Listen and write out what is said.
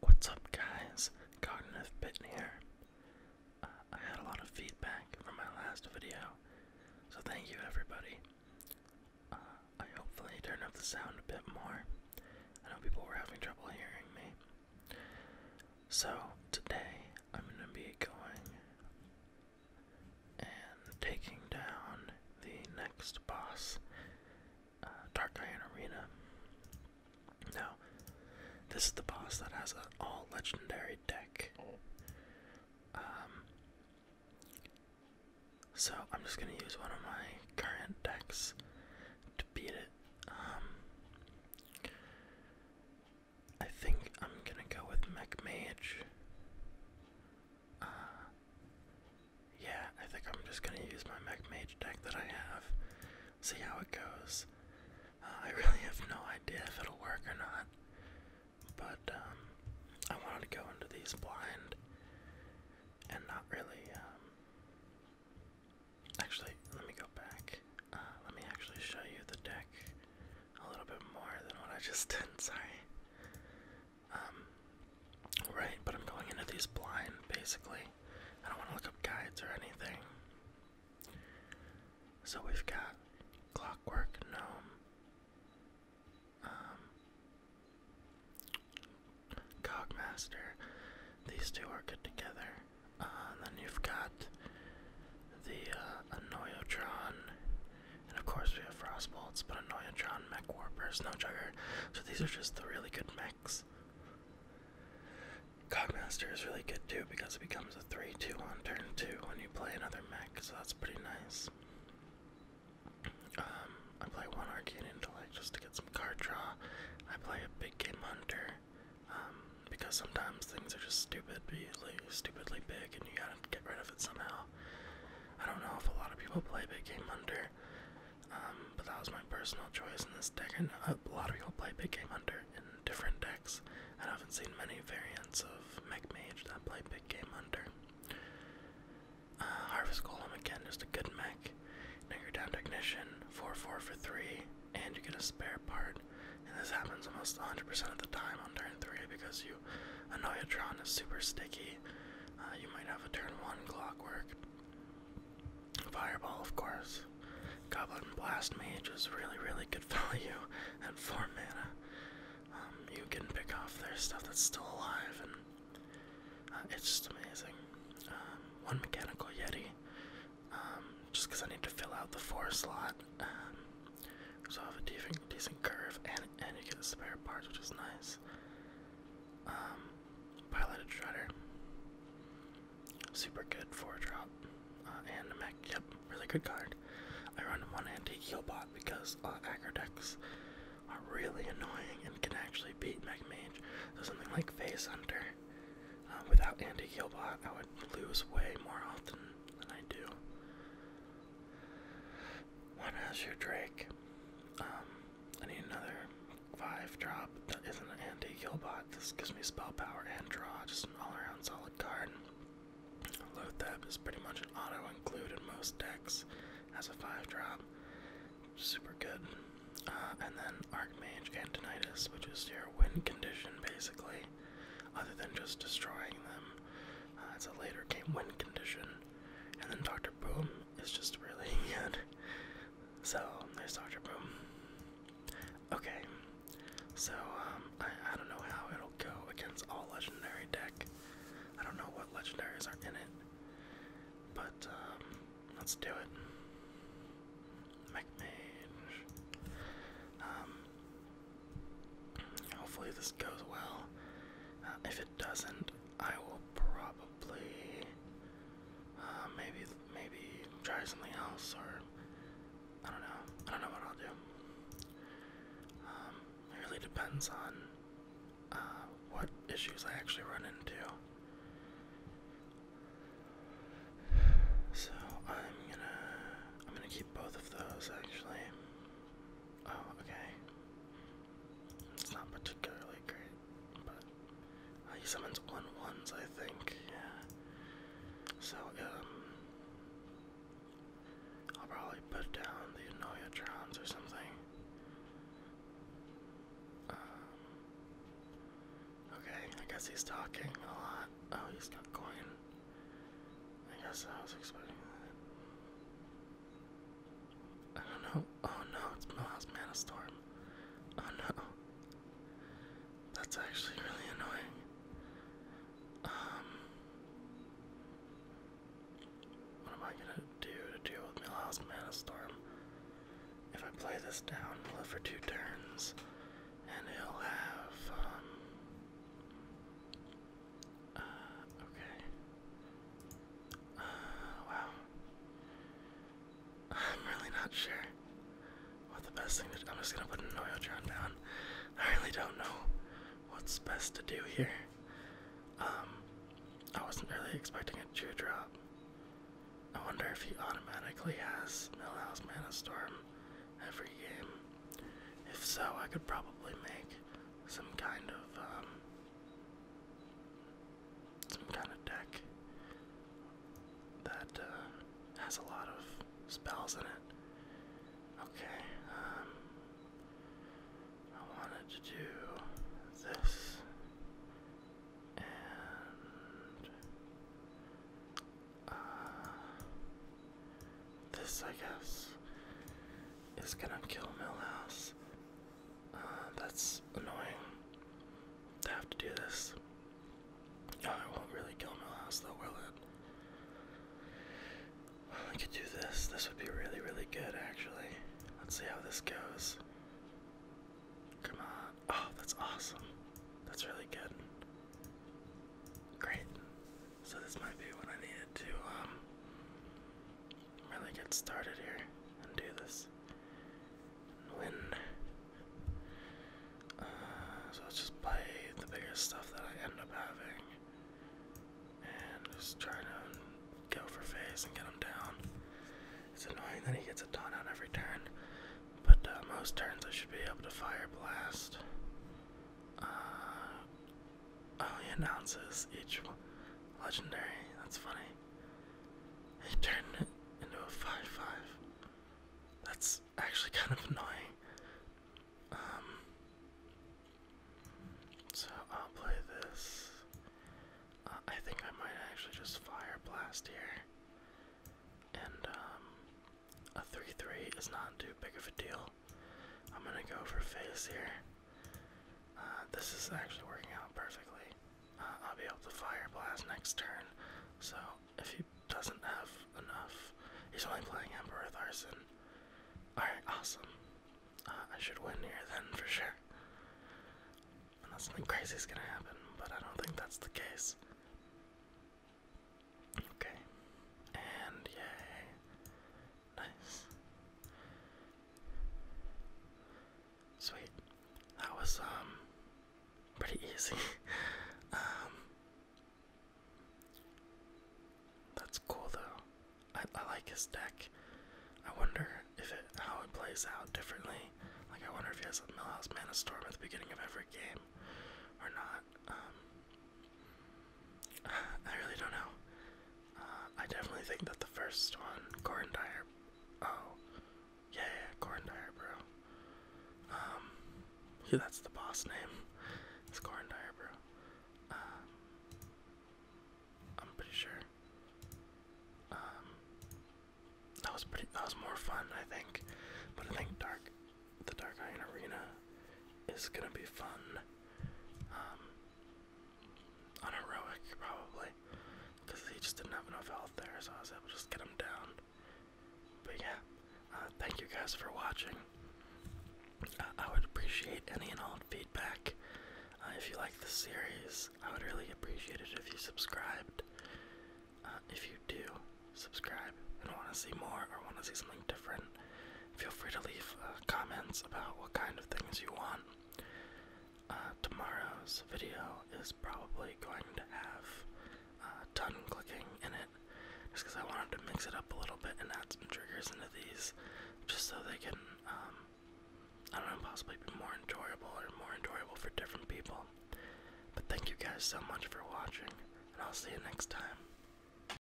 What's up, guys? Cognitive here. Uh, I had a lot of feedback from my last video, so thank you, everybody. Uh, I hopefully turned up the sound a bit more. I know people were having trouble hearing me. So, today I'm going to be going and taking down the next boss uh, Dark Iron Arena. Now, this is the boss that has an all legendary deck. Um, so I'm just gonna use one of my current decks to beat it. Um, I think I'm gonna go with Mech Mage. Uh, yeah, I think I'm just gonna use my Mech Mage deck that I have, see how it goes. Uh, I really have no idea if it'll work or not, but um, I wanted to go into these blind and not really. Um, actually, let me go back. Uh, let me actually show you the deck a little bit more than what I just did. Sorry. Um, right, but I'm going into these blind, basically. I don't want to look up guides or anything. So we've got Clockwork Gnome, um, Cogmaster. These two are good together. Uh, then you've got the uh, and of course we have Frostbolts, but Annoyotron Mech Warper, Snowjugger. So these are just the really good mechs. Cogmaster is really good too because it becomes a 3-2 on turn 2 when you play another mech, so that's pretty nice. Um, I play one Arcane Intellect just to get some card draw. I play a Big Game Hunter um, because sometimes things are just stupidly, stupidly big and you gotta get rid of it somehow. I don't know if a lot of people play Big Game Hunter. Um, but that was my personal choice in this deck. And a lot of people play Big Game Hunter in different decks. I haven't seen many variants of Mech Mage that play Big Game Hunter. Uh, Harvest Golem again, just a good mech. Now you're down Technician, 4 4 for 3, and you get a spare part. And this happens almost 100% of the time on turn 3 because you. Annoyatron is super sticky, uh, you might have a turn one clockwork. Fireball, of course. Goblin Blast Mage is really, really good value at four mana. Um, you can pick off their stuff that's still alive, and uh, it's just amazing. Um, one Mechanical Yeti, um, just because I need to fill out the four slot. Um, so I have a decent, decent curve, and and you get spare parts, which is nice. Um, piloted shredder. Super good for a drop. Uh, and a mech. Yep, really good card. I run one antique heal bot because uh, aggro decks are really annoying and can actually beat mech mage. So something like Face Hunter, uh, without anti heal bot, I would lose way more often than I do. One has your Drake. Um, I need another five drop that isn't an anti-kill bot. This gives me spell power and draw, just an all-around solid card. Lotheb is pretty much an auto include in most decks. as a five drop. Super good. Uh, and then Arc Mage Antonitis, which is your win condition basically, other than just destroying them. Uh, it's a later game win condition. And then Dr. Boom it's just really good. So there's Dr. Boom. Okay, so um, I, I don't know how it'll go against all legendary deck. I don't know what legendaries are in it, but um, let's do it. McMage. Um, hopefully this goes well. Uh, if it doesn't, I will probably uh, maybe maybe try something else or I don't know. I don't know what I'll do. Um, it really depends on uh, what issues I actually run into. So I'm gonna I'm gonna keep both of those actually. Oh, okay. It's not particularly great, but he summons one ones, I think. Yeah. So um, I'll probably put down the Annoyatrons or something. Um, okay, I guess he's talking a lot. Oh, he's got coin. I guess I was expecting that. I oh, don't know. Oh no, it's Miles Manistorm. Oh no. That's actually really annoying. Um What am I gonna do to deal with Milhouse Manistorm? If I play this down, we'll live for two turns. And he'll have um, uh, okay. Uh, wow. I'm really not sure what the best thing to do. I'm just gonna put an oil drop down. I really don't know what's best to do here. Um, I wasn't really expecting a chew drop. I wonder if he automatically has Millhouse Mana Storm every game. If so, I could probably make some kind of um, some kind of deck that uh, has a lot of spells in it. Okay, um, I wanted to do this and uh, this, I guess is gonna kill Millhouse. Uh, that's annoying to have to do this. No, oh, it won't really kill Millhouse though, will it? Well, could do this. This would be really, really good actually. Let's see how this goes. Come on. Oh, that's awesome. That's really good. Great. So this might be what I needed to um, really get started here and do this. win. Uh, so let's just play the biggest stuff that I end up having. And just try to go for face and get him down. It's annoying that he gets a taunt on every turn. But uh, most turns I should be able to fire blast. Uh, only oh, announces each Legendary, that's funny. He turned it into a 5-5. That's actually kind of annoying. Um, so I'll play this. Uh, I think I might actually just fire blast here. And um, a 3-3 is not too big of a deal. I'm gonna go for face here. Uh, this is actually working out perfectly. Uh, I'll be able to fire blast next turn. So if he doesn't have enough, he's only playing Emperor arson. Alright, awesome. Uh, I should win here then for sure. Unless crazy is gonna happen, but I don't think that's the case. Okay. And yay. Nice. Sweet. That was um pretty easy. um That's cool though. I, I like his deck. I wonder if it how it plays out differently. Like I wonder if he has a Millhouse Mana Storm at the beginning of every game or not. Um I really don't know. Uh, I definitely think that the first one, Corn Dyer. Oh, yeah, Corn Dyer, bro. Um, yeah, that's the boss name. It's Corn Dyer, bro. Uh, I'm pretty sure. Um, that was pretty. That was more fun, I think. But I think Dark, the Dark Iron Arena, is gonna be fun unheroic, um, probably, because he just didn't have enough health there, so I was able to just get him down. But yeah, uh, thank you guys for watching. I would appreciate any and all feedback. Uh, if you like the series, I would really appreciate it if you subscribed. Uh, if you do subscribe and want to see more or want to see something different, Feel free to leave uh, comments about what kind of things you want. Uh, tomorrow's video is probably going to have uh, clicking in it, just because I wanted to mix it up a little bit and add some triggers into these, just so they can, um, I don't know, possibly be more enjoyable or more enjoyable for different people. But thank you guys so much for watching, and I'll see you next time.